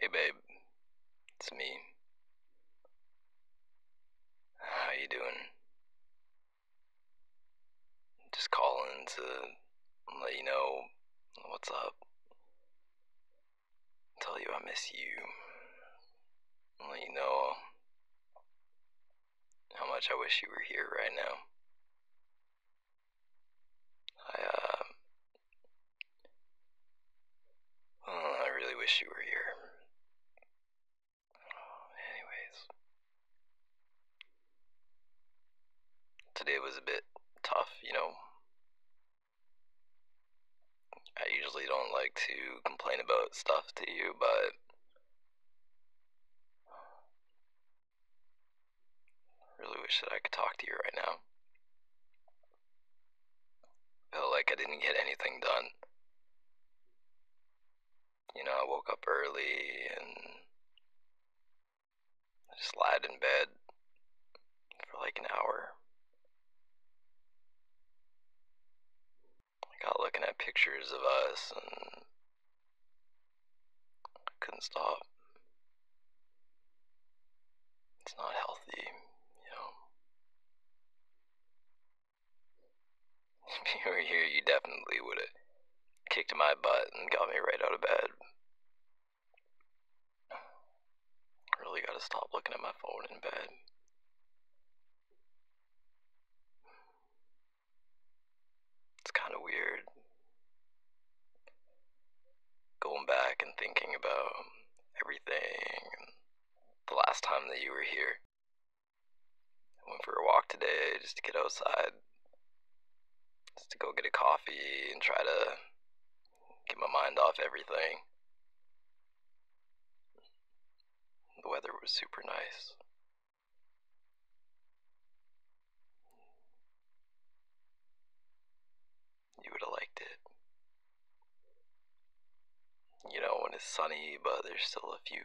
Hey babe, it's me. How you doing? Just calling to let you know what's up. Tell you I miss you. Let you know how much I wish you were here right now. I, uh, I really wish you were here. Anyways, today was a bit tough, you know. I usually don't like to complain about stuff to you, but I really wish that I could talk to you right now. I feel like I didn't get anything done. You know, I woke up early and just lied in bed for like an hour. I got looking at pictures of us and couldn't stop. It's not healthy, you know. If you were here, you definitely would have kicked my butt and got me right out of bed. Really gotta stop looking at my phone in bed. It's kind of weird going back and thinking about everything the last time that you were here. I went for a walk today just to get outside, just to go get a coffee and try to get my mind off everything. The weather was super nice. You would have liked it. You know, when it's sunny, but there's still a few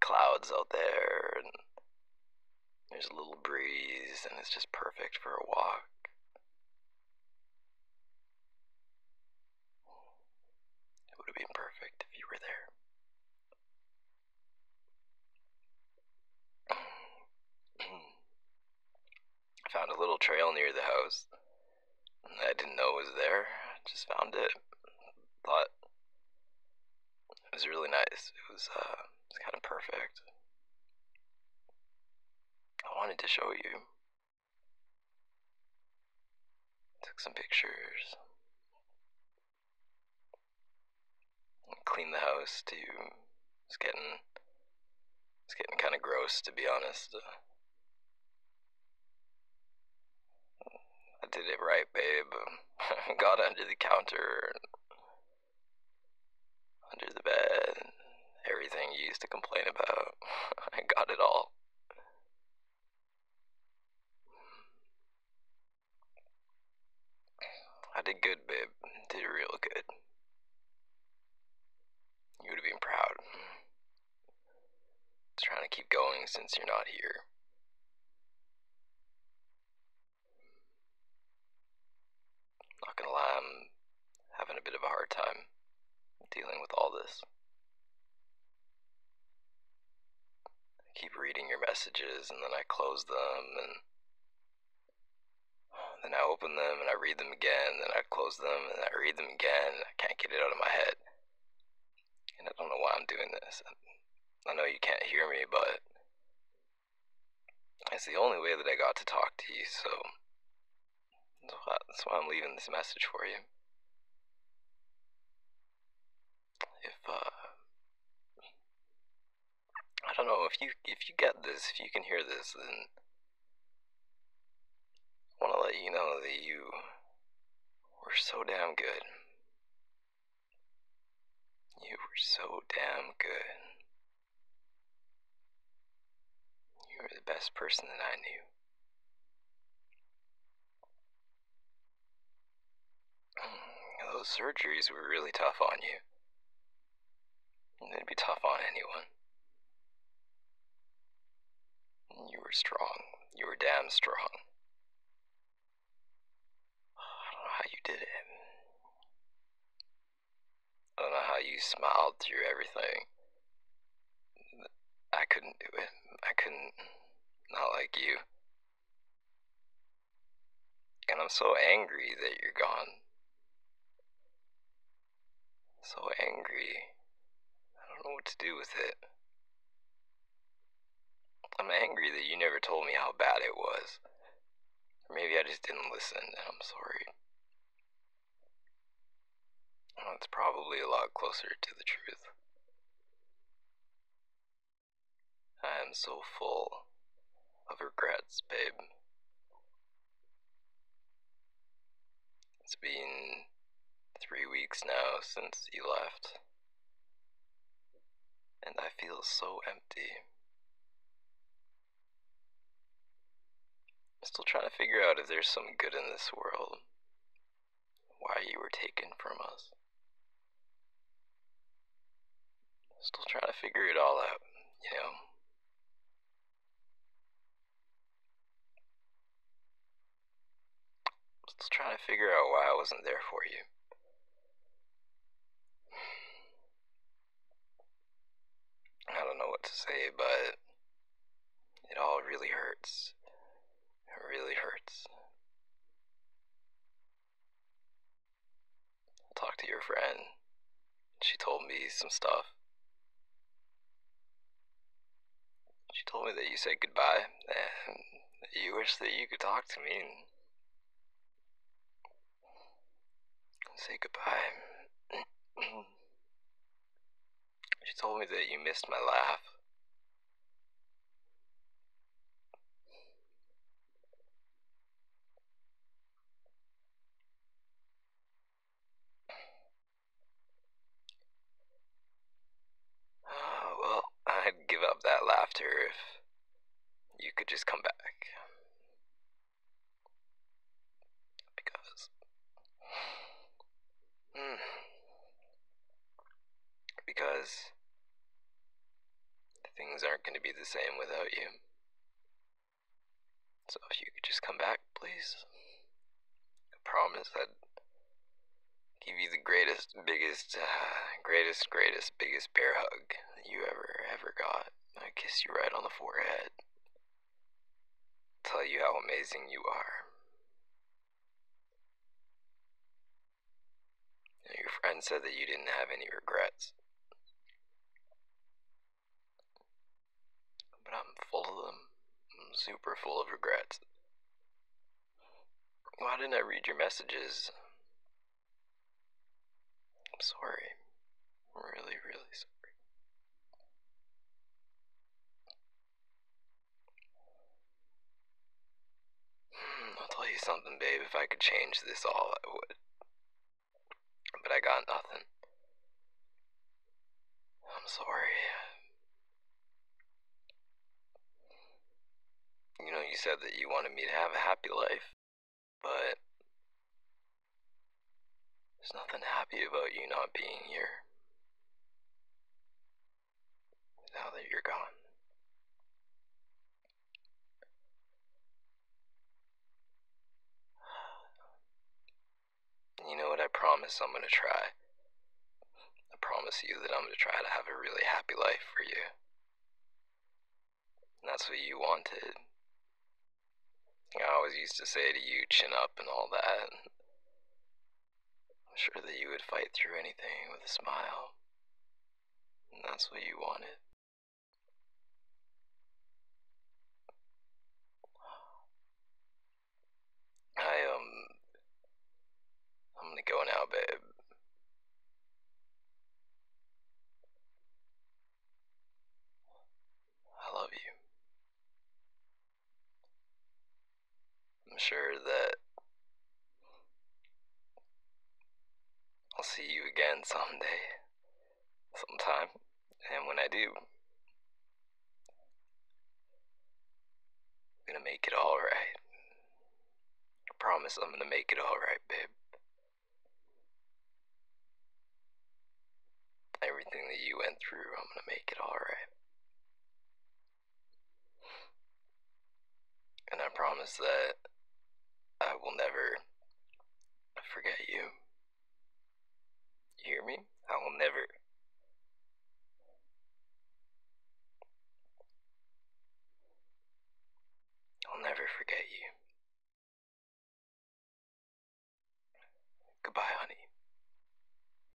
clouds out there, and there's a little breeze, and it's just perfect for a walk. It would have been perfect if you were there. Hmm. found a little trail near the house I didn't know it was there. Just found it. Thought it was really nice. it was uh, kind of perfect. I wanted to show you. Took some pictures clean the house to it's getting it's getting kind of gross to be honest. Uh, I did it right, babe. Got under the counter, under the bed, everything you used to complain about. I got it all. I did good, babe. Did real good. You would have been proud. trying to keep going since you're not here. Not gonna lie, I'm having a bit of a hard time dealing with all this keep reading your messages, and then I close them, and then I open them, and I read them again, and I close them, and I read them again. I can't get it out of my head. And I don't know why I'm doing this. I know you can't hear me, but it's the only way that I got to talk to you, so that's why I'm leaving this message for you if uh, I don't know if you if you get this, if you can hear this, then I want to let you know that you were so damn good. You were so damn good. You were the best person that I knew. Those surgeries were really tough on you. They'd be tough on anyone. You were strong. You were damn strong. I don't know how you did it. I don't know how you smiled through everything. I couldn't do it. I couldn't. Not like you. And I'm so angry that you're gone. So angry. I don't know what to do with it. I'm angry that you never told me how bad it was. maybe I just didn't listen, and I'm sorry. Well, it's probably a lot closer to the truth. I am so full of regrets, babe. It's been three weeks now since you left, and I feel so empty. I'm still trying to figure out if there's some good in this world why you were taken from us. Still trying to figure it all out, you know? Still trying to figure out why I wasn't there for you. I don't know what to say, but it all really hurts. It really hurts. Talk to your friend. She told me some stuff. She told me that you said goodbye and you wish that you could talk to me and say goodbye. she told me that you missed my laugh. Uh, well, I'd give up that laughter if you could just come back. Because. Hmm, because Things aren't going to be the same without you. So if you could just come back, please. I promise I'd give you the greatest, biggest, uh, greatest, greatest, biggest bear hug you ever, ever got. I kiss you right on the forehead. Tell you how amazing you are. Your friend said that you didn't have any regrets. But I'm full of them. I'm super full of regrets. Why didn't I read your messages? I'm sorry. I'm really, really sorry. Hmm, I'll tell you something, babe. If I could change this all, I would. But I got nothing. I'm sorry. You know, you said that you wanted me to have a happy life, but there's nothing happy about you not being here now that you're gone. You know what? I promise I'm going to try. I promise you that I'm going to try to have a really happy life for you. And that's what you wanted. I always used to say to you, chin up and all that. I'm sure that you would fight through anything with a smile. And that's what you wanted. I, um, I'm gonna go now, babe. I love you. I'm sure that I'll see you again someday, sometime, and when I do, I'm gonna make it alright. I promise I'm gonna make it alright, babe. Everything that you went through, I'm gonna make it alright. And I promise that I will never forget you. hear me? I will never. I'll never forget you. Goodbye, honey.